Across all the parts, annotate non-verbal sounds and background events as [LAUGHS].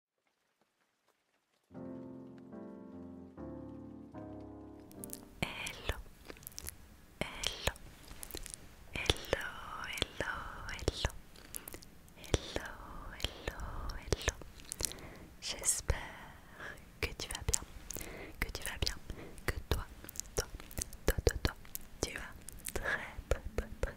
Hello, hello, hello, hello, hello, hello, hello, hello. J'espère que tu vas bien, que tu vas bien, que toi, toi, toi, toi, tu vas très, très, très, très,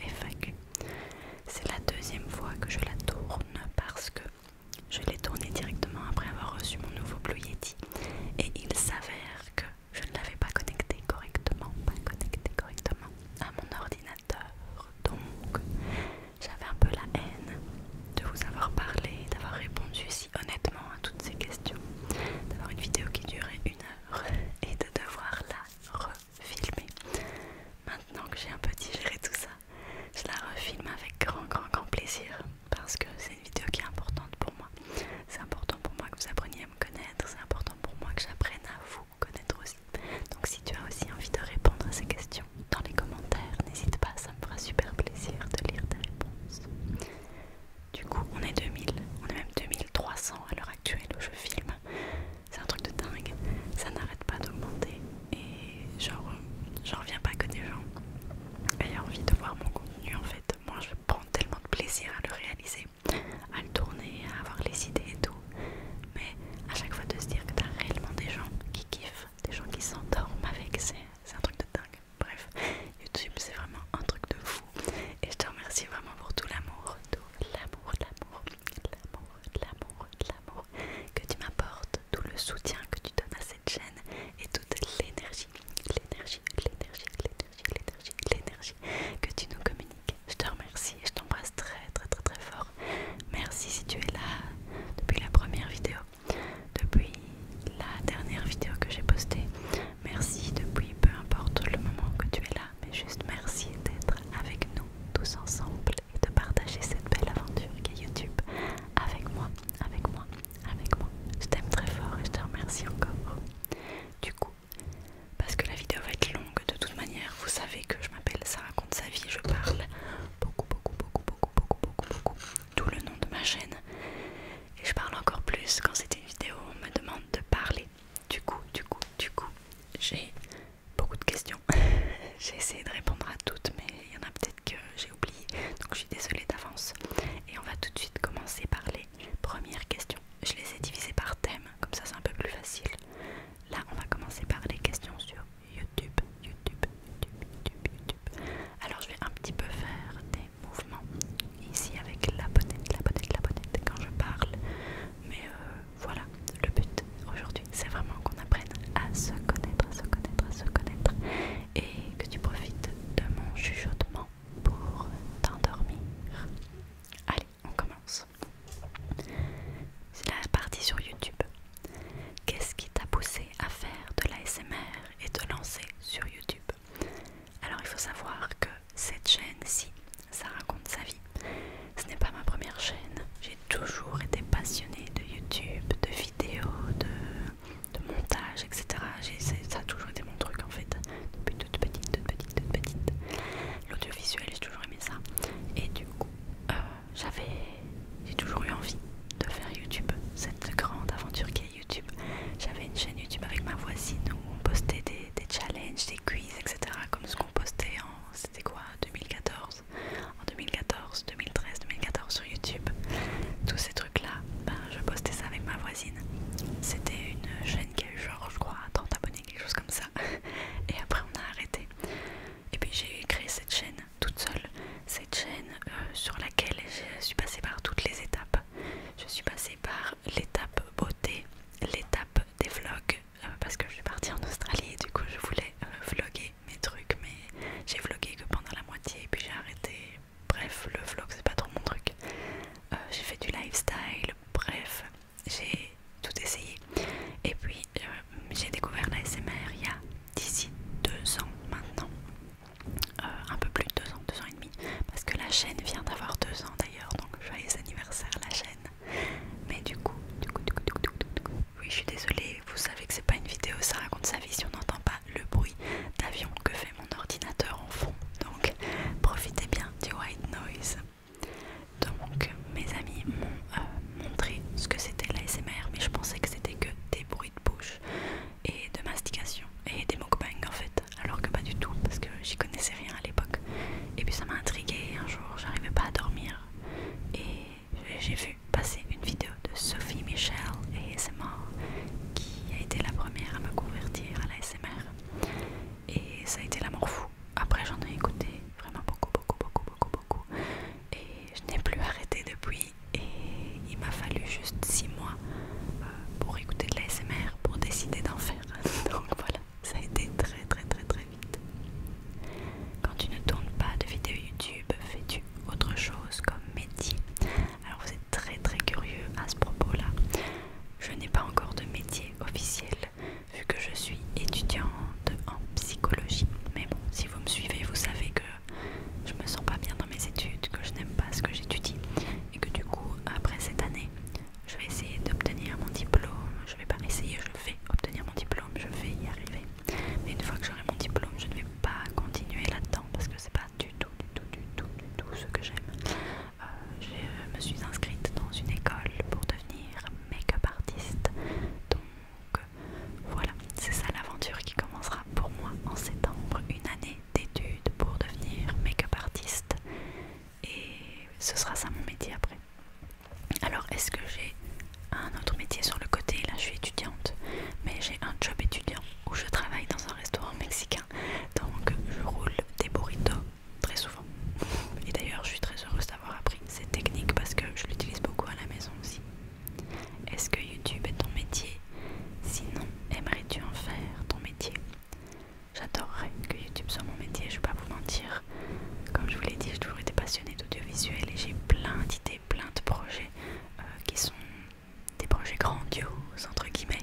FAQ. C'est la deuxième fois que je la tourne parce que je l'ai tournée directement après avoir reçu mon nouveau Blue Yeti et il s'avère que je ne l'avais pas connecté correctement, pas connecté correctement à mon ordinateur. Donc j'avais un peu la haine de vous avoir parlé, d'avoir répondu si honnêtement à toutes ces questions, d'avoir une vidéo qui durait une heure et de devoir la refilmer. Maintenant que j'ai un peu digéré tout ça, je la refilme avec grand, grand, grand plaisir parce que c'est une vidéo qui est importante pour moi. C'est important pour moi que vous appreniez à me connaître, c'est important pour moi que j'apprenne à vous connaître aussi. Donc si tu as aussi envie de répondre à ces questions dans les commentaires, n'hésite pas, ça me fera super plaisir de lire tes réponses. Du coup, on est 2000, on est même 2300 à l'heure actuelle où je filme. C'est un truc de dingue. Ça n'arrête pas d'augmenter. Et genre, euh, j'en reviens pas que des gens aient envie de voir mon contenu en fait. Moi je prends tellement de plaisir à le réaliser, à le tourner, à avoir les idées et tout. Mais à chaque fois de se dire que t'as réellement des gens qui kiffent, des gens qui s'endorment avec, c'est un truc de dingue. Bref, YouTube c'est vraiment un truc de fou. Et je te remercie vraiment pour tout l'amour, tout l'amour, l'amour l'amour, l'amour, l'amour que tu m'apportes, tout le soutien que tu donnes à cette chaîne et toute l'énergie, l'énergie, l'énergie, l'énergie, l'énergie, l'énergie que tu nous communiques. Je te remercie et je t'embrasse très très très très fort. Merci si tu es là depuis la première vidéo, depuis la dernière vidéo que j'ai postée. Merci depuis peu importe le moment que tu es là, mais juste merci d'être avec nous tous ensemble et de partager cette belle aventure qu'est YouTube avec moi, avec moi, avec moi. Je t'aime très fort et je te remercie encore. Du coup, parce que la vidéo va être longue de toute manière, vous savez que je m'appelle Ça raconte sa vie, je parle beaucoup, beaucoup, beaucoup, beaucoup, beaucoup, beaucoup, beaucoup, tout le nom de ma chaîne. Et je parle encore plus quand c'est une vidéo, on me demande de parler. Du coup, du coup, du coup, j'ai beaucoup de questions. [LAUGHS] j'ai essayé de répondre à toutes, mais il y en a peut-être que j'ai oublié, donc je suis désolée d'avance. Et on va tout de suite commencer par les premières questions. Je les ai divisées par thème, comme ça c'est un peu plus facile. Là, on va commencer par les questions sur YouTube, YouTube, YouTube, YouTube, Alors, je vais un petit peu faire des mouvements ici avec la bonnette, la bonnette, la bonnette quand je parle, mais euh, voilà le but aujourd'hui, c'est vraiment qu'on apprenne à se connaître, à se connaître, à se connaître et que tu profites de mon chuchotement pour t'endormir. Allez, on commence. C'est la partie sur YouTube. Qu'est-ce qui t'a poussé à faire de l'ASMR et te lancer sur YouTube Alors il faut savoir que cette chaîne-ci ça raconte sa vie. Ce n'est pas ma première chaîne. J'ai toujours été passionnée de YouTube, de vidéos, de, montage, etc. Ça a toujours été mon truc en fait. Depuis toute petite, toute petite, toute petite. L'audiovisuel, j'ai toujours aimé ça. Et du coup, euh, j'avais... J'ai toujours eu envie de faire YouTube, cette grande aventure qu'est YouTube. J'avais une chaîne YouTube avec ma voisine où on postait des, des challenges, des quiz, etc. Comme ce qu'on postait en, c'était quoi, 2014, en 2014, 2013, 2014 sur YouTube. Tous ces trucs-là, ben, je postais ça avec ma voisine. C'était une chaîne qui a eu genre, je crois, 30 abonnés, quelque chose comme ça. [LAUGHS] Et après, on a arrêté. Et puis, j'ai créé cette chaîne toute seule. Cette chaîne euh, sur laquelle je suis passée par toutes les étapes. Je suis passée par l'étape beauté, l'étape des vlogs, euh, parce que je suis partie en Australie et du coup je voulais euh, vlogger mes trucs mais j'ai vlogué que pendant la moitié et puis j'ai arrêté bref le vlog c'est pas trop mon truc euh, j'ai fait du lifestyle bref j'ai tout essayé et puis j'ai découvert la SMR il y a d'ici deux ans maintenant un peu plus de deux ans deux ans et demi parce que la chaîne vient d'avoir deux ans d'ailleurs donc joyeux anniversaire la chaîne mais du coup, du coup, du coup, oui, je suis désolée, vous savez que c'est pas une vidéo, ça raconte sa vie si on n'entend pas le bruit d'avion que fait mon ordinateur en fond. Donc, profitez bien du white noise. Donc, mes amis m'ont euh, montré ce que c'était SMR, mais je pensais que c'était que des bruits de bouche et de mastication et des mukbangs en fait, alors que pas du tout parce que j'y connaissais rien à l'époque. Et puis ça m'a intriguée. Un jour, j'arrivais pas à dormir, et j'ai vu passer une vidéo de Sophie Michel et ASMR qui a été la première à me convertir à la SMR et ça a été l'amour fou. Après j'en ai écouté vraiment beaucoup, beaucoup, beaucoup, beaucoup, beaucoup et je n'ai plus arrêté depuis et il m'a fallu juste 6 mois euh, pour écouter de l'ASMR pour décider d'en faire. Donc [LAUGHS] voilà ça a été très très très très vite. Quand tu ne tournes pas de vidéo YouTube, fais-tu autre chose comme métier Alors vous êtes très très curieux à ce propos-là. Je n'ai pas encore de métier officiel vu que je suis étudiante en psychologie. Mais bon, si vous me suivez, vous savez que je me sens pas bien dans mes études, que je n'aime pas ce que j'étudie et que du coup, après cette année, je vais essayer d'obtenir mon diplôme, je vais pas essayer, je vais obtenir mon diplôme, je vais y arriver. Mais une fois que j'aurai mon diplôme, je ne vais pas continuer là-dedans parce que c'est pas du tout, du tout, du tout, du tout ce que j'aime. Euh, je me suis inscrite dans une école pour devenir make-up artiste. Donc voilà, c'est ça l'aventure qui commencera pour moi en septembre, une année d'études pour devenir make-up artiste. Et ce sera ça mon métier après. Alors est-ce que j'ai un autre métier sur le côté Là je suis étudiante, mais j'ai un job étudiant où je travaille dans un restaurant mexicain. Donc je roule des burritos très souvent. Et d'ailleurs je suis très heureuse d'avoir appris cette technique parce que je l'utilise beaucoup à la maison aussi. Est-ce que YouTube est ton métier Sinon, aimerais-tu en faire ton métier J'adorerais que YouTube soit mon métier, je vais pas vous mentir. Comme je vous l'ai dit, j'ai toujours été passionnée d'audiovisuel et j'ai plein d'idées, plein de projets euh, qui sont des projets grandioses entre guillemets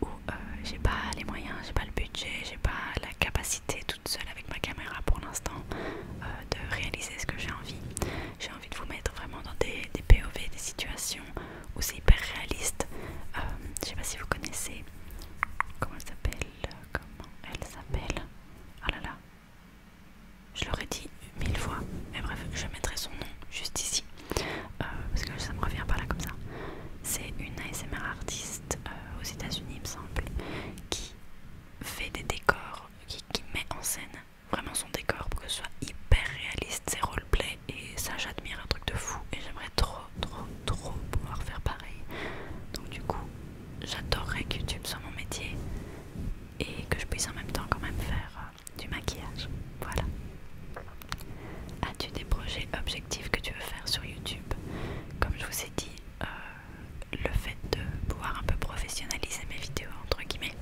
où euh, j'ai pas les moyens, j'ai pas le budget, j'ai pas la capacité toute seule avec ma caméra pour l'instant euh, de réaliser ce que j'ai envie. J'ai envie de vous mettre vraiment dans des, des POV, des situations où c'est hyper réaliste. je sais pas si vous connaissez comment ça s'appelle comment elle s'appelle Ah là là. Je l'aurais dit mille fois. Mais bref, je mettrai son nom juste ici. Euh, parce que ça me revient pas là comme ça. C'est une ASMR artiste euh, aux États-Unis, il me semble, qui fait des décors, qui, met en scène vraiment son décor pour que ce soit hyper réaliste, c'est play Et ça, j'admire un truc de fou. Et j'aimerais trop, trop, trop pouvoir faire pareil. Donc, du coup, j'adorerais que YouTube soit mon métier et que je puisse en même temps quand même faire euh, du maquillage. Voilà. As-tu des projets objectifs que tu veux faire sur YouTube Comme je vous ai dit, euh, le fait de pouvoir un peu professionnaliser mes vidéos, entre guillemets,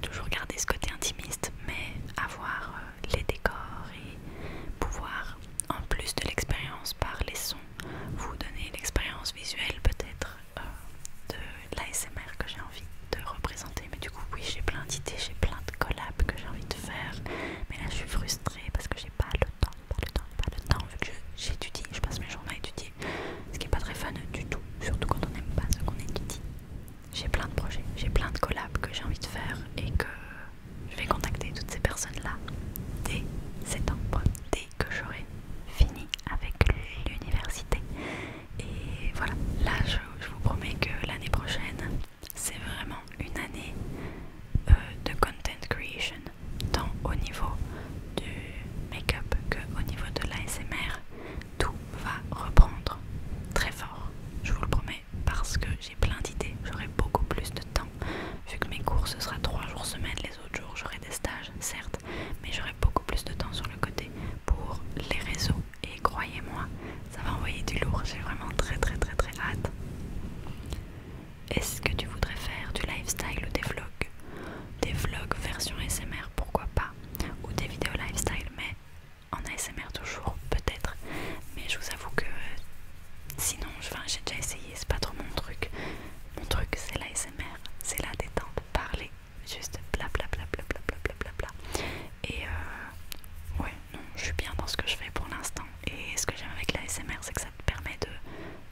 toujours garder ce côté intimiste, mais avoir euh, les décors et pouvoir, en plus de l'expérience par les sons vous donner l'expérience visuelle peut-être euh, de l'ASMR que j'ai envie de représenter. Mais du coup oui j'ai plein d'idées, j'ai plein de collabs que j'ai envie de faire. Mais là je suis frustrée parce que j'ai pas le temps, pas le temps, pas le temps. Vu que j'étudie, je, passe mes journées à étudier. Ce qui est pas très fun du tout, surtout quand on n'aime pas ce qu'on étudie. J'ai plein de projets, j'ai plein de collabs que j'ai envie de faire et que je vais contacter toutes ces personnes-là dès septembre, dès que j'aurai fini avec l'université. Et voilà, là je, vous promets que l'année prochaine, c'est vraiment une année euh, de content creation, tant au niveau du make-up qu'au niveau de l'ASMR. Tout va reprendre très fort, je vous le promets, parce que j'ai plein d'idées, j'aurai beaucoup plus de temps, vu que mes cours ce sera 3 jours semaine, autres jours j'aurai des stages, certes, mais j'aurai beaucoup plus de temps sur le côté pour les réseaux. Et croyez-moi, ça va envoyer du lourd, j'ai vraiment très très très très hâte. Est-ce que tu voudrais faire du lifestyle ou des vlogs Des vlogs version ASMR, pourquoi pas Ou des vidéos lifestyle, mais en ASMR toujours, peut-être. Mais je vous avoue que Sinon, j'ai déjà essayé, c'est pas trop mon truc. Mon truc, c'est l'ASMR, c'est la détente, parler, juste bla bla bla Et euh, ouais, non, je suis bien dans ce que je fais pour l'instant. Et ce que j'aime avec l'ASMR, c'est que ça te permet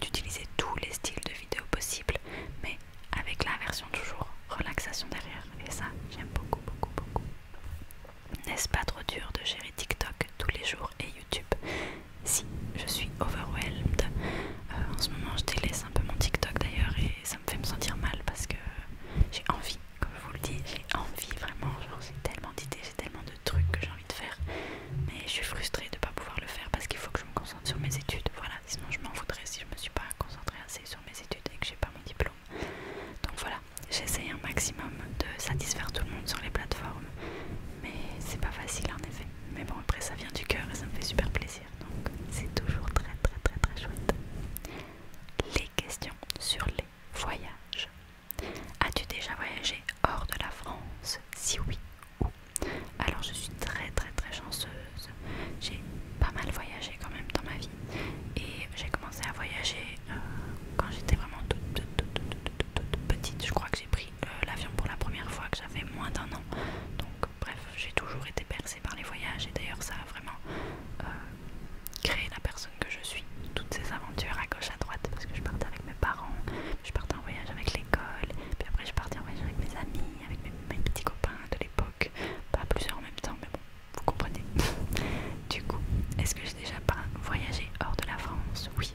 d'utiliser tous les styles de vidéos possibles, mais avec la version toujours relaxation derrière. Et ça, j'aime beaucoup, beaucoup, beaucoup. N'est-ce pas trop dur de gérer TikTok tous les jours et YouTube. Si je suis overwhelmed, euh, en ce moment je délaisse un peu mon TikTok d'ailleurs et ça me fait me sentir mal parce que j'ai envie, comme je vous le dis, j'ai envie vraiment, genre j'ai tellement d'idées, j'ai tellement de trucs que j'ai envie de faire, mais je suis frustrée de ne pas pouvoir le faire parce qu'il faut que je me concentre sur mes études, voilà, sinon je m'en voudrais si je me suis pas concentrée assez sur mes études et que j'ai pas mon diplôme. Donc voilà, j'essaye un maximum de satisfaire tout le monde sur les plateformes mais c'est pas facile en effet. Mais bon, après ça vient du cœur et ça me fait super plaisir, donc c'est toujours très très très très chouette. Les questions sur les voyages. As-tu déjà voyagé hors de la France Si oui, où Alors je suis très très très chanceuse. J'ai pas mal voyagé quand même dans ma vie. Et j'ai commencé à voyager euh, quand j'étais vraiment toute petite. Je crois que j'ai pris euh, l'avion pour la première fois que j'avais moins d'un an. Donc bref, j'ai toujours été bercée par les voyages et d'ailleurs ça a vraiment euh, créé la personne que je suis. Toutes ces aventures à gauche, à droite, parce que je partais avec mes parents, je partais en voyage avec l'école, puis après je partais en voyage avec mes amis, avec mes, mes petits copains de l'époque, pas plusieurs en même temps, mais bon, vous comprenez. [LAUGHS] du coup, est-ce que j'ai déjà pas voyagé hors de la France Oui,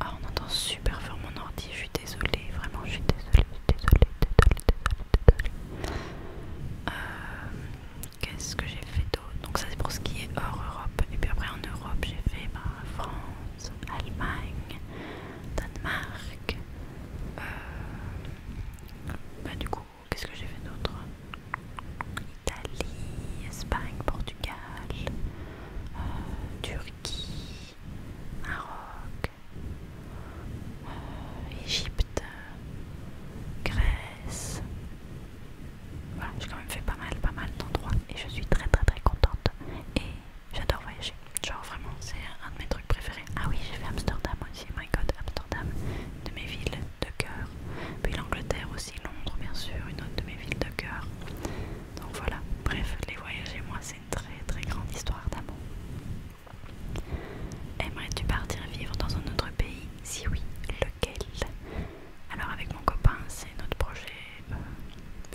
ah, on entend super fort mon ordi, je suis désolée, vraiment, je suis désolée, désolée, désolée, désolée, euh, Qu'est-ce que j'ai fait d'autre Donc, ça c'est pour ce qui est hors Europe. Et puis après, en Europe, j'ai fait bah, France, Allemagne, Danemark. Euh, bah, du coup, qu'est-ce que j'ai fait d'autre Italie, Espagne, Portugal, euh, Turquie, Maroc, Egypte, euh, Égypte, Grèce. Voilà, j'ai quand même fait pas mal, pas mal d'endroits et je suis très très très contente. Et j'adore voyager. Genre vraiment, c'est un de mes trucs préférés. Ah oui, j'ai fait Amsterdam aussi. My God, Amsterdam, de mes villes de cœur. Puis l'Angleterre aussi, Londres bien sûr, une autre de mes villes de cœur. Donc voilà, bref, les voyages et moi, c'est une très très grande histoire d'amour. Aimerais-tu partir vivre dans un autre pays Si oui, lequel Alors avec mon copain, c'est notre projet euh,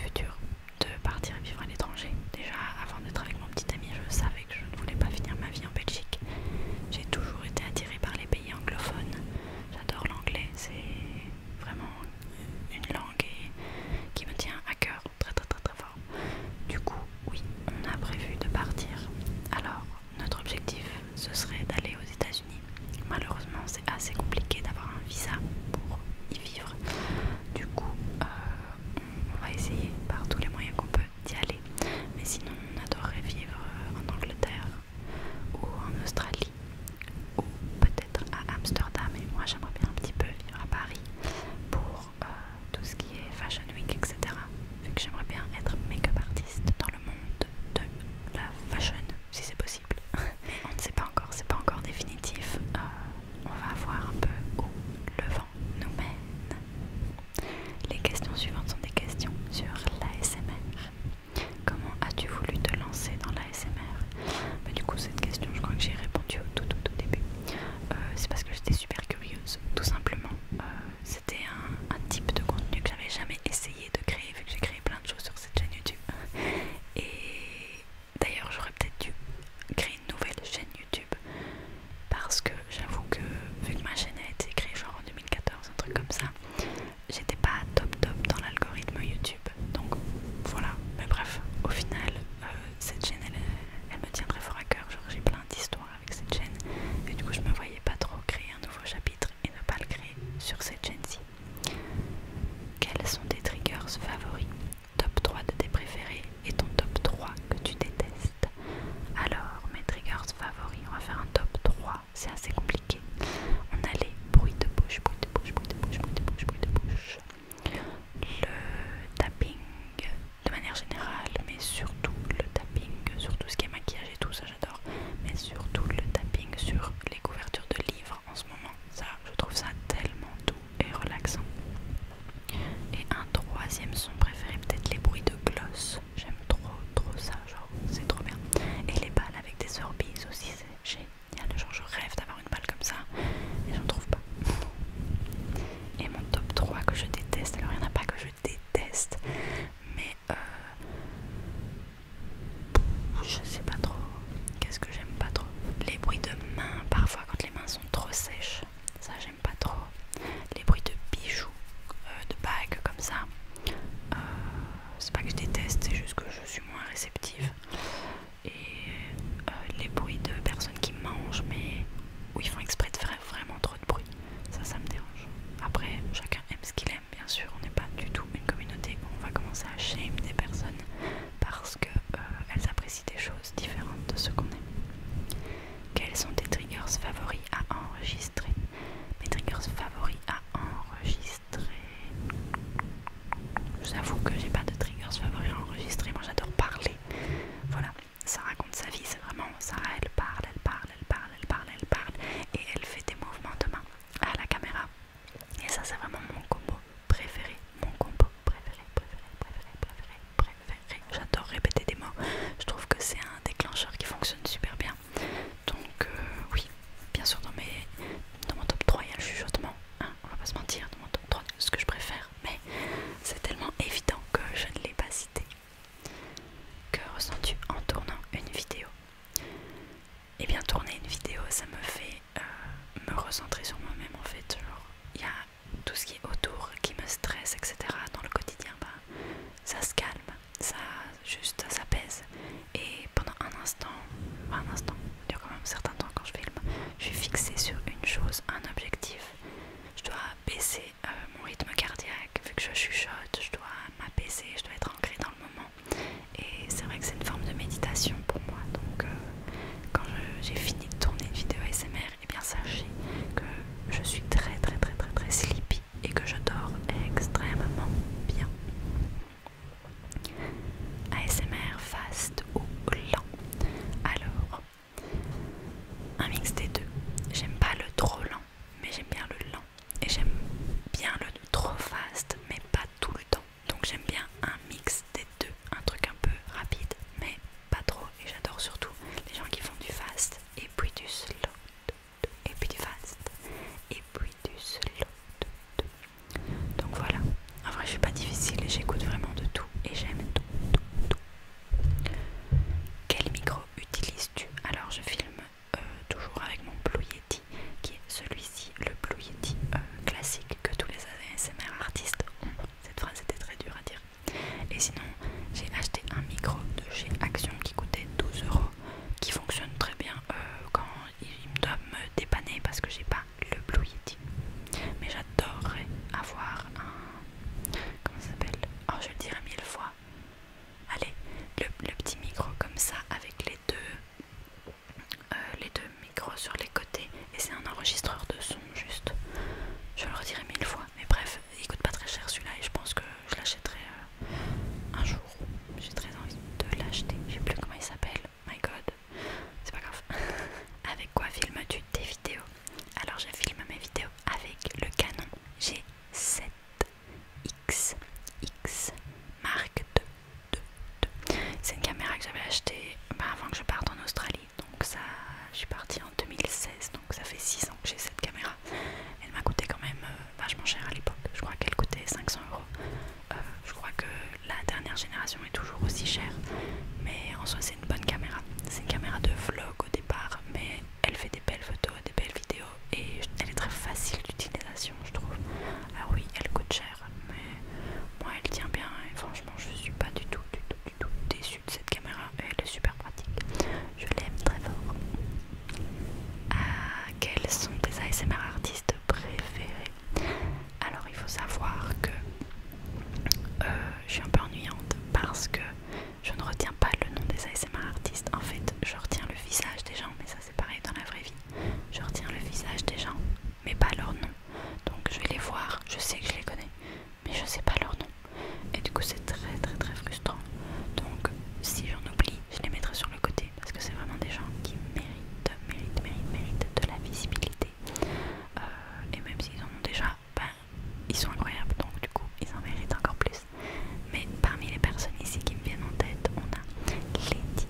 futur de partir vivre à l'étranger. Déjà, avant d'être avec mon petit ami, je savais que je ne voulais pas finir ma vie en Belgique. J'ai toujours été attirée par les pays anglophones. J'adore l'anglais, c'est vraiment une langue qui me tient à cœur très très très très fort. Du coup, oui, on a prévu de partir. Alors, notre objectif, ce serait d'aller aux États-Unis. Malheureusement, c'est assez compliqué d'avoir un visa pour y vivre. Du coup, euh, on va essayer par tous les moyens qu'on peut d'y aller. Mais sinon, on adorerait vivre en Angleterre ou en Australie ou peut-être à Amsterdam. Et moi, j'aimerais bien un petit peu vivre à Paris pour euh, tout ce qui est Fashion Week, etc. Vu que j'aimerais bien être make-up artiste dans le monde de la fashion, si c'est possible. [LAUGHS] on ne sait pas encore, c'est pas encore définitif. Euh, on va voir un peu où le vent nous mène. Les questions suivantes sont des questions sur l'ASMR. Comment as-tu voulu te lancer dans la SMR bah, Du coup, cette question, je crois que j'ai répondu au tout, tout, début. Euh, c'est parce que j'étais super curieuse, tout simplement. Euh, c'était un, un type de contenu que j'avais jamais essayé de créer, vu que j'ai créé plein de choses sur cette chaîne YouTube. Et d'ailleurs, j'aurais peut-être dû créer une nouvelle chaîne YouTube parce que j'avoue que vu que ma chaîne a été créée genre en 2014, un truc comme ça, j'étais pas top top dans l'algorithme YouTube donc voilà, mais bref, au final, euh, cette chaîne elle, me tient très fort à cœur. J'ai plein d'histoires avec cette chaîne et du coup, je me voyais pas trop créer un nouveau chapitre et ne pas le créer sur cette chaîne-ci. Quels sont tes triggers favoris Top 3 de tes préférés et ton top 3 que tu détestes Alors, mes triggers favoris, on va faire un top 3, c'est assez compliqué. On a les bruits de bouche, bruits de bouche, bruits de bouche, bruits de bouche, bruits de bouche. Le tapping de manière générale, mais surtout le tapping sur tout ce qui est maquillage et tout, ça j'adore. Mais surtout le tapping sur les couvertures de livres en ce moment. Ça, je trouve ça tellement doux et relaxant. Et un troisième son préféré, peut-être les bruits de gloss. J'aime trop, trop ça, genre c'est trop bien. Et les balles avec des orbites aussi, c'est génial. Il y a des gens, je rêve d'avoir une balle comme ça et j'en trouve pas. Et mon top 3 que je déteste, alors il n'y en a pas que je déteste, mais euh, je sais pas trop. Qu'est-ce que j'aime pas trop Les bruits de mains, parfois quand les mains sont trop sèches, ça j'aime pas trop. Les bruits de bijoux, euh, de bagues comme ça, euh, c'est pas que je déteste, c'est juste que je suis moins réceptive et euh, les bruits de personnes qui mangent mais où ils font exprès de faire vraiment trop de bruit. Ça, ça me dérange. Après, chacun aime ce qu'il aime, bien sûr. On n'est pas du tout une communauté où on va commencer à shame des personnes parce qu'elles euh, elles apprécient des choses différentes de ce qu'on aime. Quels sont tes triggers favoris à enregistrer Mes triggers favoris à enregistrer J'avoue que j'ai pas de triggers favoris à enregistrer, moi j'adore parler. Voilà, ça raconte sa vie, c'est vraiment ça. Elle parle, elle parle, elle parle, elle parle, elle parle, et elle fait des mouvements de main à la caméra. Et ça, c'est vraiment mon combo préféré. Mon combo préféré, préféré, préféré, préféré, préféré. J'adore répéter des mots. Je trouve que c'est un déclencheur qui fonctionne super bien. Donc, euh, oui, bien sûr, dans, mes, dans mon top 3, il y a le chuchotement on va pas se mentir, ce que je préfère, mais c'est tellement évident que je ne l'ai pas cité. Que ressens-tu en tournant une vidéo Eh bien, tourner une vidéo, ça me fait euh, me recentrer sur moi-même en fait. Il y a tout ce qui est autour qui me stresse, etc. Dans le quotidien, bah, ça se calme, ça juste ça et pendant un instant, un instant, il dure quand même un certain temps quand je filme, je suis fixée sur une chose, un objectif. Je dois baisser euh, mon rythme cardiaque, vu que je chuchote, je dois m'apaiser, je dois être ancrée dans le moment. Et c'est vrai que c'est une forme de méditation pour moi. Donc euh, quand j'ai fini de tourner une vidéo ASMR, et eh bien sachez que je suis très très très très très sleepy et que je dors extrêmement bien. ASMR fast ou lent Alors, un mix des deux. J'aime pas le trop lent, mais j'aime bien le lent. Et j'aime bien le trop fast, mais pas tout le temps. Donc j'aime bien un mix des deux. Un truc un peu rapide, mais pas trop. Et j'adore surtout les gens qui font du fast et puis du slow. Et puis du fast. Et puis du slow. Donc voilà, en vrai je suis pas difficile et j'écoute vraiment de tout et j'aime tout, tout, tout. Quel micro utilises-tu Alors je filme euh, toujours avec mon Blue Yeti qui est celui-ci, le Blue Yeti euh, classique que tous les ASMR artistes ont. Cette phrase était très dure à dire. Et sinon, j'ai acheté un micro de chez Action qui coûtait 12 euros, qui fonctionne très bien euh, quand il doit me dépanner parce que j'ai pas le Blue Yeti. Mais j'adorerais avoir un. Comment ça s'appelle Oh, je le dirais mille fois. Allez, le, petit micro comme ça avec les deux, euh, les deux micros sur les côtés. Et c'est un enregistreur de son, juste. Je le redirai mille fois. Mais bref, il coûte pas très cher celui-là et je pense que je l'achèterai euh, un jour. J'ai très envie de l'acheter. Je sais plus comment il s'appelle my god, c'est pas grave. [LAUGHS] avec quoi filmes-tu tes vidéos Alors je filme mes vidéos avec le Canon G7X X marque 2. C'est une caméra que j'avais achetée bah, avant que je parte en Australie. Donc ça, je suis partie en 2016, donc ça fait 6 ans que j'ai cette caméra. Elle m'a coûté quand même euh, vachement cher à l'époque. Je crois qu'elle coûtait 500 euros. Euh, je crois que la dernière génération est toujours aussi chère, mais en soi c'est une bonne caméra. C'est une caméra de vlog au départ, mais elle fait des belles photos, des belles vidéos et elle est très facile d'utilisation, je trouve. Ah oui, elle coûte cher, mais moi elle tient bien et franchement je suis pas du tout, du tout, déçue de cette caméra. Elle est super pratique. Je l'aime très fort. Ah, quels sont tes ASMR artistes préférés alors il faut savoir que euh, je suis un peu ennuyante parce que je ne retiens pas le nom des ASMR artistes. En fait, je retiens le visage des gens, mais ça c'est pareil dans la vraie vie. Je retiens le visage des gens, mais pas leur nom. Donc je vais les voir, je sais que je les connais, mais je ne sais pas leur nom. Et du coup c'est très très très frustrant. Donc si j'en oublie, je les mettrai sur le côté parce que c'est vraiment des gens qui méritent, méritent, méritent, méritent de la visibilité. Euh, et même s'ils en ont déjà, ben, ils sont incroyables donc du coup ils en méritent encore plus. Mais parmi les personnes ici qui me viennent en tête, on a les Titi,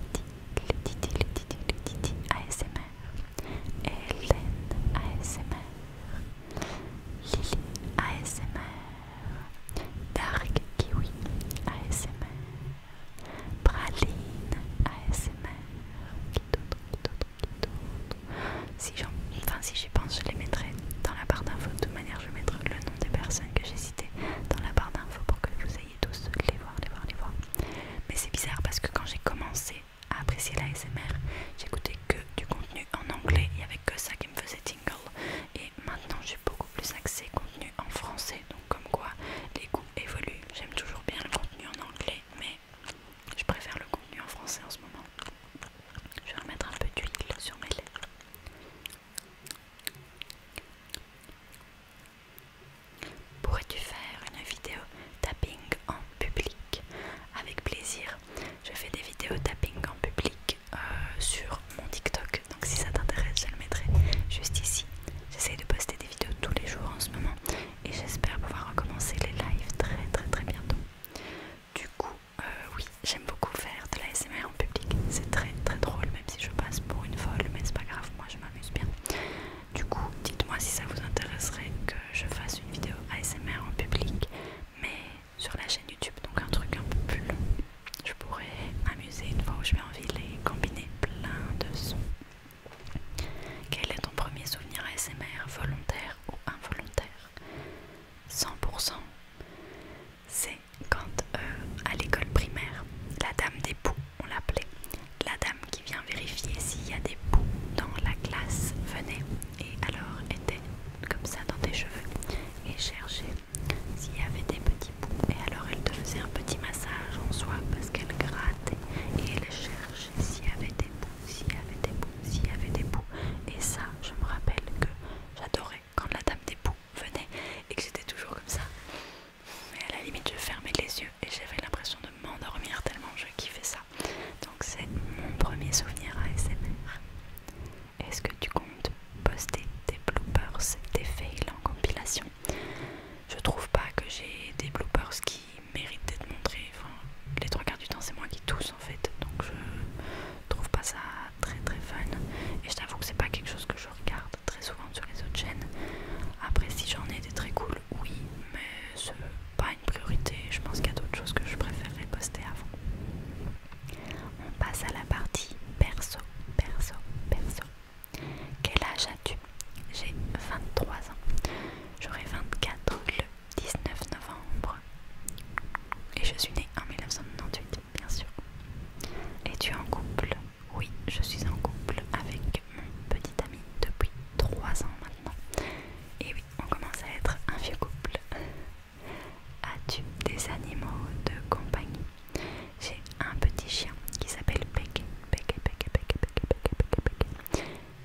les Titi, les Titi, les Titi ASMR, Hélène ASMR, Lily ASMR, Dark Kiwi ASMR. Praline ASMR. Qui d'autre, qui d'autre, qui d'autre Si enfin si j'y pense, je les mettrai dans la barre d'info De toute manière, je mettrai le nom des personnes que j'ai citées dans la barre d'infos pour que vous ayez tous les voir, les voir, les voir. Mais c'est bizarre parce que quand j'ai commencé à apprécier l'ASMR, j'écoutais que du contenu en anglais. Il y avait que ça qui me faisait tingle. Et maintenant, j'ai beaucoup plus accès au contenu en français. Donc comme quoi, les évolue. J'aime toujours bien le contenu en anglais, mais je préfère le contenu en français en ce moment. Je vais remettre un peu d'huile sur mes lèvres. Pourrais-tu faire une vidéo tapping en public Avec plaisir. Je fais des vidéos tapping en public euh, sur mon TikTok donc si ça t'intéresse je le mettrai juste ici j'essaye de poster des vidéos tous les jours en ce moment et j'espère pouvoir recommencer les lives très très très bientôt du coup euh, oui j'aime beaucoup faire de la en public c'est très très drôle même si je passe pour une folle mais c'est pas grave moi je m'amuse bien du coup dites moi si ça vous intéresserait que je fasse une vidéo ASMR en public mais sur la chaîne YouTube donc un truc un peu plus long je pourrais une fois où je vais en ville et combiner plein de sons. Quel est ton premier souvenir ASMR, volontaire ou involontaire 100% C'est quand euh, à l'école primaire, la dame des poux, on l'appelait, la dame qui vient vérifier s'il y a des poux dans la classe venait et alors était comme ça dans tes cheveux et cherchait s'il y avait des petits et alors elle te faisait un petit massage en soi parce qu'elle grattait et elle cherchait s'il y avait des bouts, s'il y avait des bouts, s'il y avait des bouts. Et ça, je me rappelle que j'adorais quand la dame des bouts venait et que c'était toujours comme ça. Mais à la limite, je fermais les yeux et j'avais l'impression de m'endormir tellement je kiffais ça. Donc c'est mon premier souvenir ASMR. Est-ce que tu comptes poster tes bloopers, tes fails en compilation je trouve pas que j'ai des bloopers qui méritent d'être montrés. Enfin, les trois quarts du temps, c'est moi qui tousse en fait, donc je trouve pas ça très très fun. Et je t'avoue que c'est pas quelque chose que je regarde très souvent sur les autres chaînes. Après, si j'en ai des très cool, oui, mais c'est pas une priorité. Je pense qu'il y a d'autres choses que je préférerais poster avant. On passe à la partie perso, perso, perso. Quel âge as-tu J'ai 23 ans. J'aurai 24 le 19 novembre. Et je suis née en 1998, bien sûr. Es-tu en couple Oui, je suis en couple avec mon petit ami depuis 3 ans maintenant. Et oui, on commence à être un vieux couple. As-tu des animaux de compagnie j'ai un petit chien qui s'appelle Peg,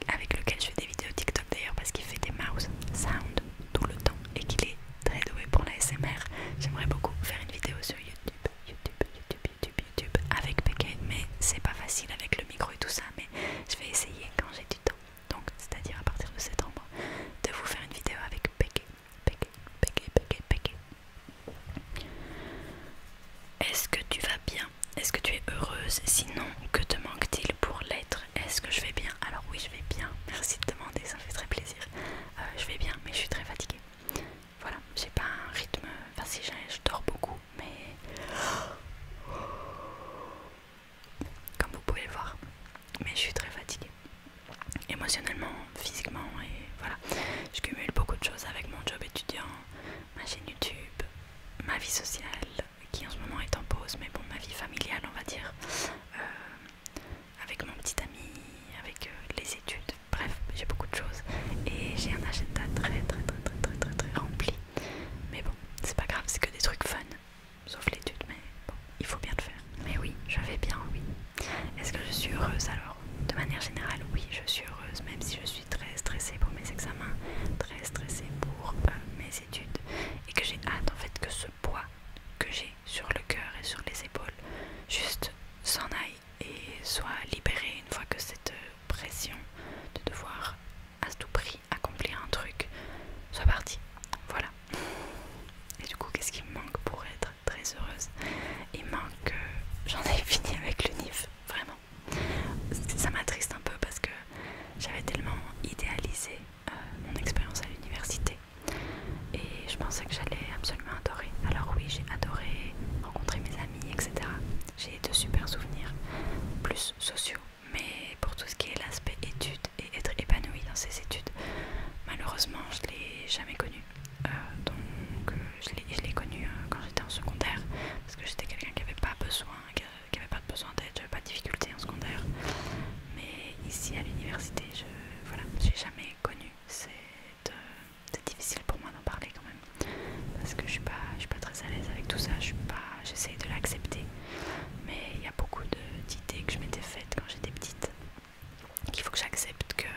avec lequel je fais des vidéos TikTok d'ailleurs parce qu'il fait des mouse sound tout le temps et qu'il est très doué pour la SMR. J'aimerais beaucoup faire une vidéo sur YouTube, YouTube, YouTube, YouTube, YouTube avec Peg, mais c'est pas facile avec le micro et tout ça, mais je vais essayer quand j'ai du temps. Donc, c'est-à-dire à partir de septembre, de vous faire une vidéo avec Peke. Est-ce que tu vas bien Est-ce que tu es heureuse Sinon, que te manque-t-il pour l'être Est-ce que je vais bien Alors oui, je vais bien. Merci de demander, ça me fait très plaisir. Euh, je vais bien, mais je suis très fatiguée. Voilà, j'ai pas un rythme... Enfin si, je dors beaucoup, mais... Comme vous pouvez le voir. Mais je suis très fatiguée. Émotionnellement, physiquement et voilà. Je cumule beaucoup de choses avec mon job étudiant, ma chaîne YouTube, ma vie sociale qui en ce moment est en pause, mais bon, ma vie familiale on va dire, euh, avec mon petit ami, avec euh, les études, bref, j'ai beaucoup de choses et j'ai un agenda très très très très très très très rempli. Mais bon, c'est pas grave, c'est que des trucs fun, sauf l'étude, mais bon, il faut bien le faire. Mais oui, je vais bien, oui. Est-ce que je suis heureuse alors de manière générale, oui, je suis heureuse, même si je suis très stressée pour mes examens, très stressée pour euh, mes études, et que j'ai hâte en fait que ce poids que j'ai sur le cœur et sur les épaules juste s'en aille et soit libéré une fois que cette euh, pression de devoir à tout prix accomplir un truc soit partie. Voilà. Et du coup, qu'est-ce qui me manque pour être très heureuse. Il manque, j'en ai [LAUGHS] fini avec le NIF, vraiment. Ça m'attriste un peu parce que j'avais tellement idéalisé euh, mon expérience à l'université et je pensais que j'allais absolument adorer. Alors oui, j'ai adoré rencontrer mes amis, etc. J'ai de super souvenirs, plus sociaux. Mais pour tout ce qui est l'aspect études et être épanoui dans ces études, malheureusement, je l'ai jamais connu. Euh, donc euh, je l'ai connu euh, quand j'étais en secondaire parce que j'étais quelqu'un qui n'avait pas besoin qui, avait pas besoin d'aide, pas de difficulté en secondaire. Mais ici à l'université, je voilà, l'ai jamais connu. C'est difficile pour moi d'en parler quand même parce que je suis pas suis pas très à l'aise avec tout ça. Je j'essaye de l'accepter, mais il y a beaucoup d'idées que je m'étais faites quand j'étais petite qu'il faut que j'accepte que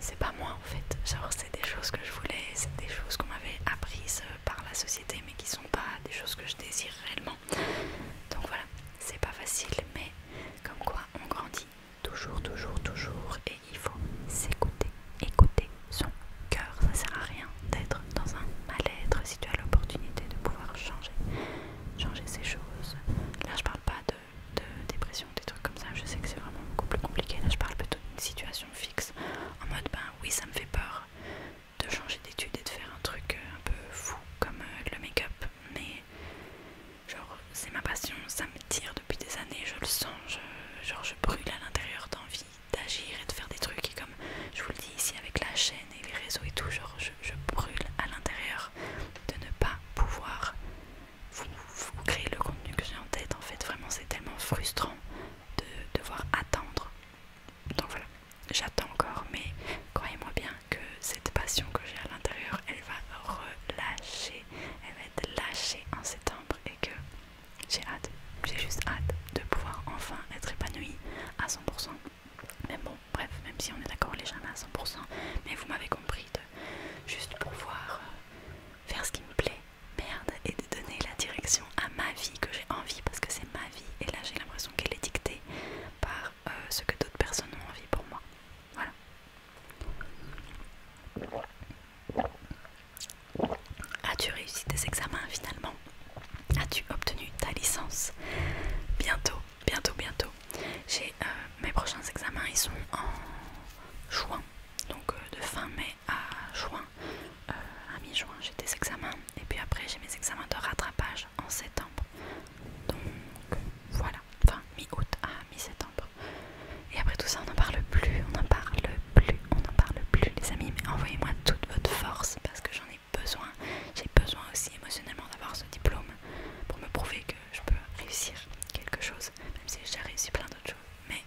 c'est pas moi en fait. Genre, c'est des choses que je voulais, c'est des choses qu'on m'avait apprises euh, par la société, mais qui sont pas des choses que je désire réellement. Donc voilà, c'est pas facile, mais comme quoi on grandit toujours, toujours, toujours, et il faut s'écouter, écouter son cœur. Ça sert à rien d'être dans un mal-être si tu as l'opportunité de pouvoir changer, changer ces choses. Là, je parle pas de de dépression, des trucs comme ça. Je sais que c'est vraiment beaucoup plus compliqué. Là, je parle plutôt d'une situation fixe, en mode ben oui, ça me fait peur de changer d'étude et de faire un truc euh, un peu fou comme euh, le make-up, mais genre c'est ma passion, ça me tire depuis des années, je le sens, genre je brûle à l'intérieur d'envie d'agir et de faire des trucs et comme je vous le dis ici avec la chaîne et les réseaux et tout, genre je brûle à l'intérieur de ne pas pouvoir vous, créez le contenu que j'ai en tête. En fait, vraiment, c'est tellement frustrant de devoir attendre. Donc voilà, j'attends encore, mais croyez-moi bien que cette passion que j'ai à l'intérieur, elle va relâcher, elle va être lâchée en septembre et que j'ai hâte, j'ai juste hâte de pouvoir enfin être épanouie à 100%. Mais bon, bref, même si on est d'accord, les jamais à 100%, mais vous m'avez compris, de, juste pour euh, faire ce qui me plaît, merde, et de donner la direction à ma vie que j'ai envie parce que c'est ma vie. Et là, j'ai l'impression qu'elle est dictée par euh, ce que d'autres personnes ont envie pour moi. Voilà. As-tu réussi tes examens finalement As-tu obtenu ta licence Bientôt, bientôt, bientôt. J'ai euh, mes prochains examens, ils sont en juin, donc euh, de fin mai à juin, euh, à mi-juin j'ai des examens et puis après j'ai mes examens de rattrapage en septembre. Donc voilà, fin mi-août à mi-septembre. Et après tout ça on n'en parle plus, on n'en parle plus, on n'en parle plus les amis, mais envoyez-moi toute votre force parce que j'en ai besoin. J'ai besoin aussi émotionnellement d'avoir ce diplôme pour me prouver que je peux réussir quelque chose, même si j'ai réussi plein d'autres choses. Mais